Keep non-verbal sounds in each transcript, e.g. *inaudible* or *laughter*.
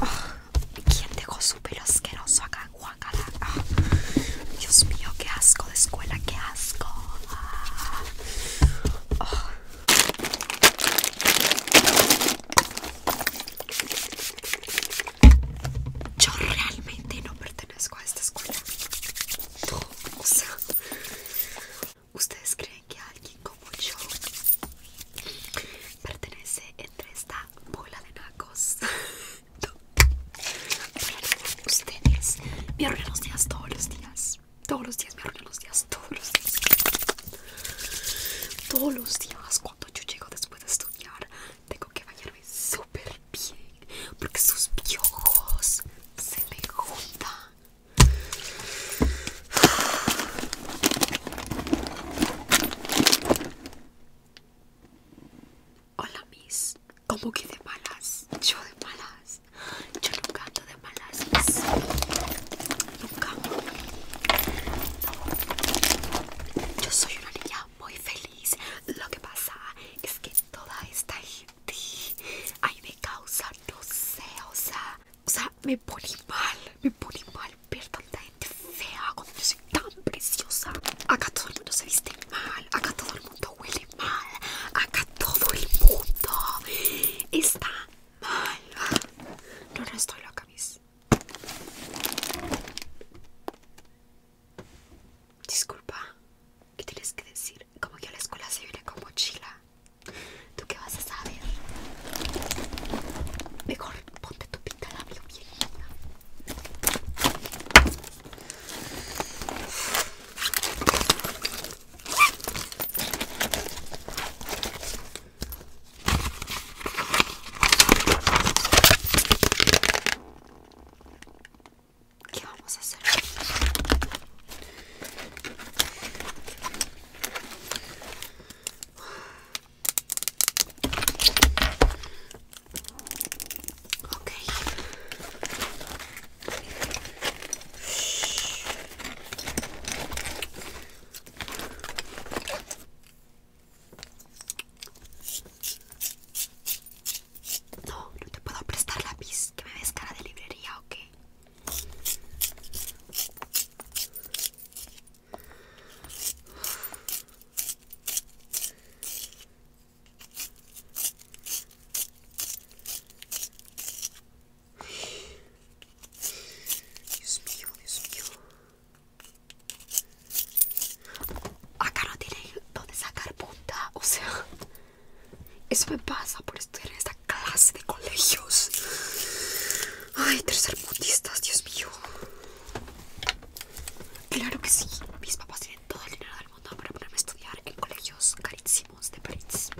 Ah, ¿Quién dejó su pelo asqueroso acá, en ah, Dios mío, qué asco de escuela, qué asco. Ah. Yo realmente no pertenezco a esta escuela. ¿ustedes creen que alguien como yo pertenece entre esta bola de nacos? *laughs* ustedes me arruinan los días todos los días. Todos los días me arruinan los días, todos los días. Todos los días cuando yo llego después de estudiar tengo que bañarme súper porque sus piojos se me juntan. Hola mis, como que de malas? Yo de malas, yo nunca ando de malas, nunca. Yo soy una niña muy feliz. Lo que pasa es que toda esta Ay, me causa, no sé, o sea, o sea, me pone mal, me pone mal ver tanta gente fea cuando yo soy tan preciosa. Acá todo el mundo se viste mal, acá todo el mundo huele mal, acá todo el mundo está mal. No, no estoy loca, mis. Disculpa, ¿qué tienes que decir? Como que a la escuela se viene con mochila. ¿Tú qué vas a saber? Mejor ponte tu pinta labio bien. ¿Qué vamos a hacer? okay no, no te puedo prestar lápiz, que me ves cara de librería o qué. Dios mío, Dios mío acá no tiene dónde sacar punta, o sea, eso me pasa por estudiar en esta clase de colegios. Ay, tercer tercermundistas, Dios mío. Claro que sí, mis papás tienen todo el dinero del mundo para ponerme a estudiar en colegios carísimos de París.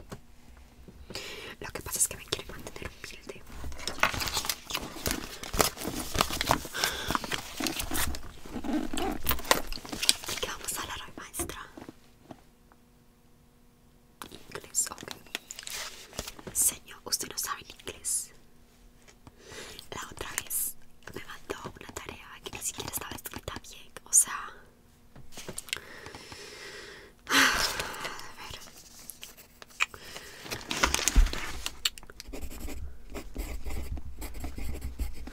Lo que pasa es que me quieren mantener humilde. ¿Y qué vamos a hablar hoy, maestra? Inglés, ok. Señor, usted no sabe inglés. La otra vez me mandó una tarea que ni siquiera estaba escrita bien, o sea. A ver.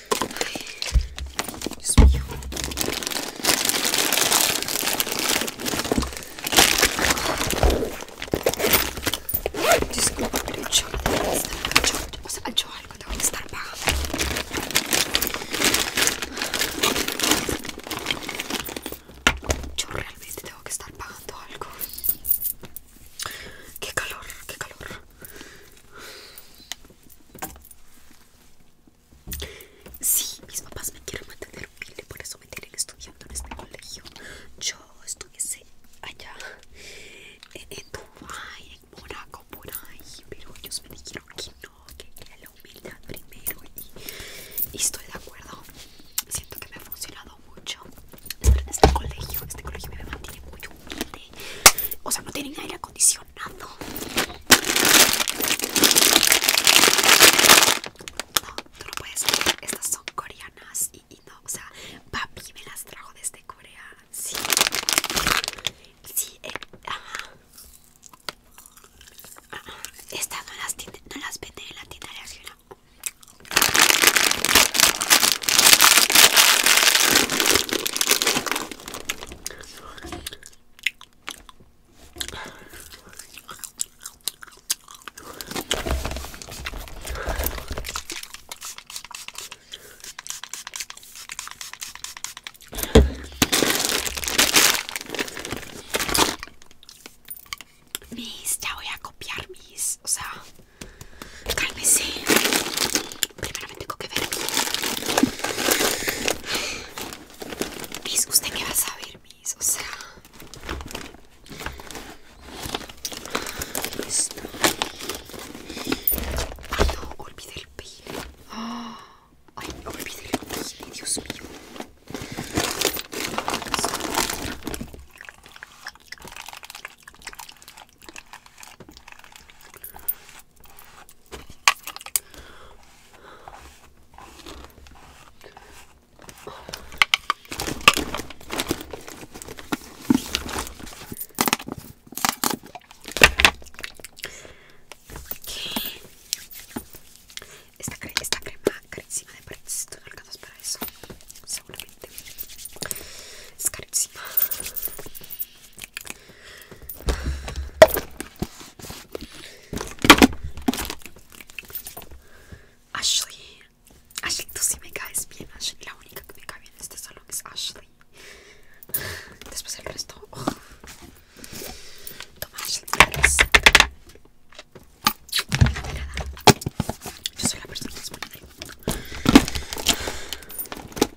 Ay, Dios mío. Disculpa, pero yo, o sea, yo tengo que estar pagando. Yo realmente tengo que estar pagando algo. Qué calor, qué calor. Sí, mis papás me quieren mantener humilde, por eso me tienen estudiando en este colegio. Yo estuviese allá en, Dubai, en Monaco, por ahí, pero ellos me dijeron que no, que era la humildad primero y, estoy de acuerdo. Siento que me ha funcionado mucho estar en este colegio, este colegio me mantiene muy humilde o sea, no tienen aire acondicionado. No, tú no puedes estas son coreanas y, no, o sea, papi me las trajo desde Corea. Sí, sí, eh, Estas no las, vende no las venden en la tienda de acción. Mis, ya voy a copiar mis, o sea, Cálmese. Primero me tengo que ver. mis, ¿usted que va a saber, mis, O sea... Ah, ah, ay, no, olvide el peine. Ay, olvide el peine, Dios mío. Esta, crema esta crema carísima de París, tú no alcanzas para eso, seguramente. Es carísima. Ashley, Ashley, tú sí me caes bien, Ashley. La única que me cae bien en este salón es Ashley. Después el resto. Oh. Toma, Ashley, Yo soy la persona más bonita del mundo.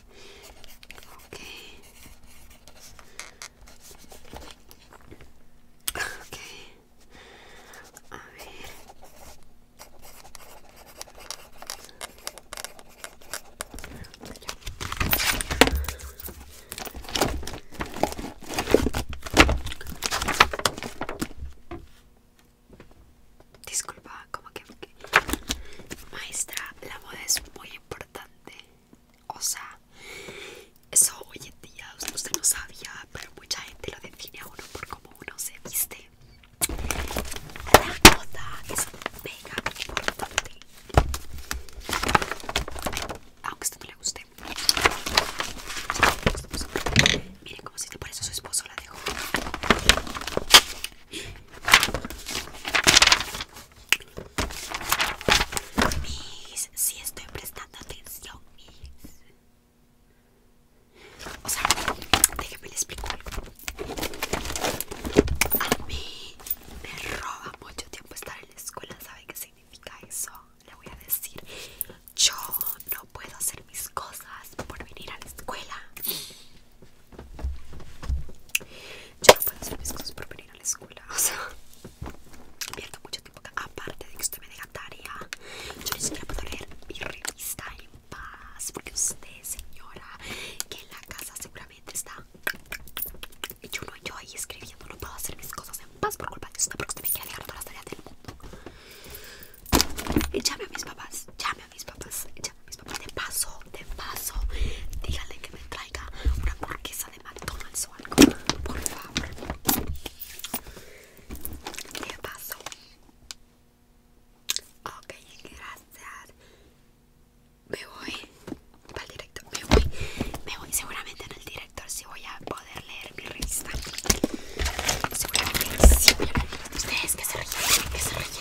Okay. Okay. A ver. Disculpa, como que maestra, la moda es muy importante. O sea, eso hoy en día usted no sabía, pero mucha gente lo define a uno por cómo uno se viste. La gota es mega importante. Aunque a usted no le guste. Miren como si por eso su esposo la dejó. Miss, si estoy prestando atención, Miss. O sea, déjeme le explico algo. A mí me roba mucho tiempo estar en la escuela. ¿Sabe qué significa eso? Le voy a decir. Yo no puedo hacer mis cosas por venir a la escuela. Yo no puedo hacer mis cosas por venir a la escuela, o sea, pierdo mucho tiempo acá. Aparte de que usted me deja tarea, yo ni siquiera puedo leer mi revista en paz, porque usted, señora, que en la casa seguramente está. Y yo no, yo ahí escribiendo, no puedo hacer mis cosas en paz por culpa de usted, porque usted me quiere dejar todas las tareas del mundo. Y llame a mis papás, llame a mis papás, mis de paso, de paso, díganle que me traiga una hamburguesa de McDonald's al algo, por favor. De paso. Ok, gracias. Me voy para el director, me voy, me voy. Seguramente en el director si voy a poder leer mi revista. Seguramente sí voy a leer. Ustedes que se ríen, que se ríen.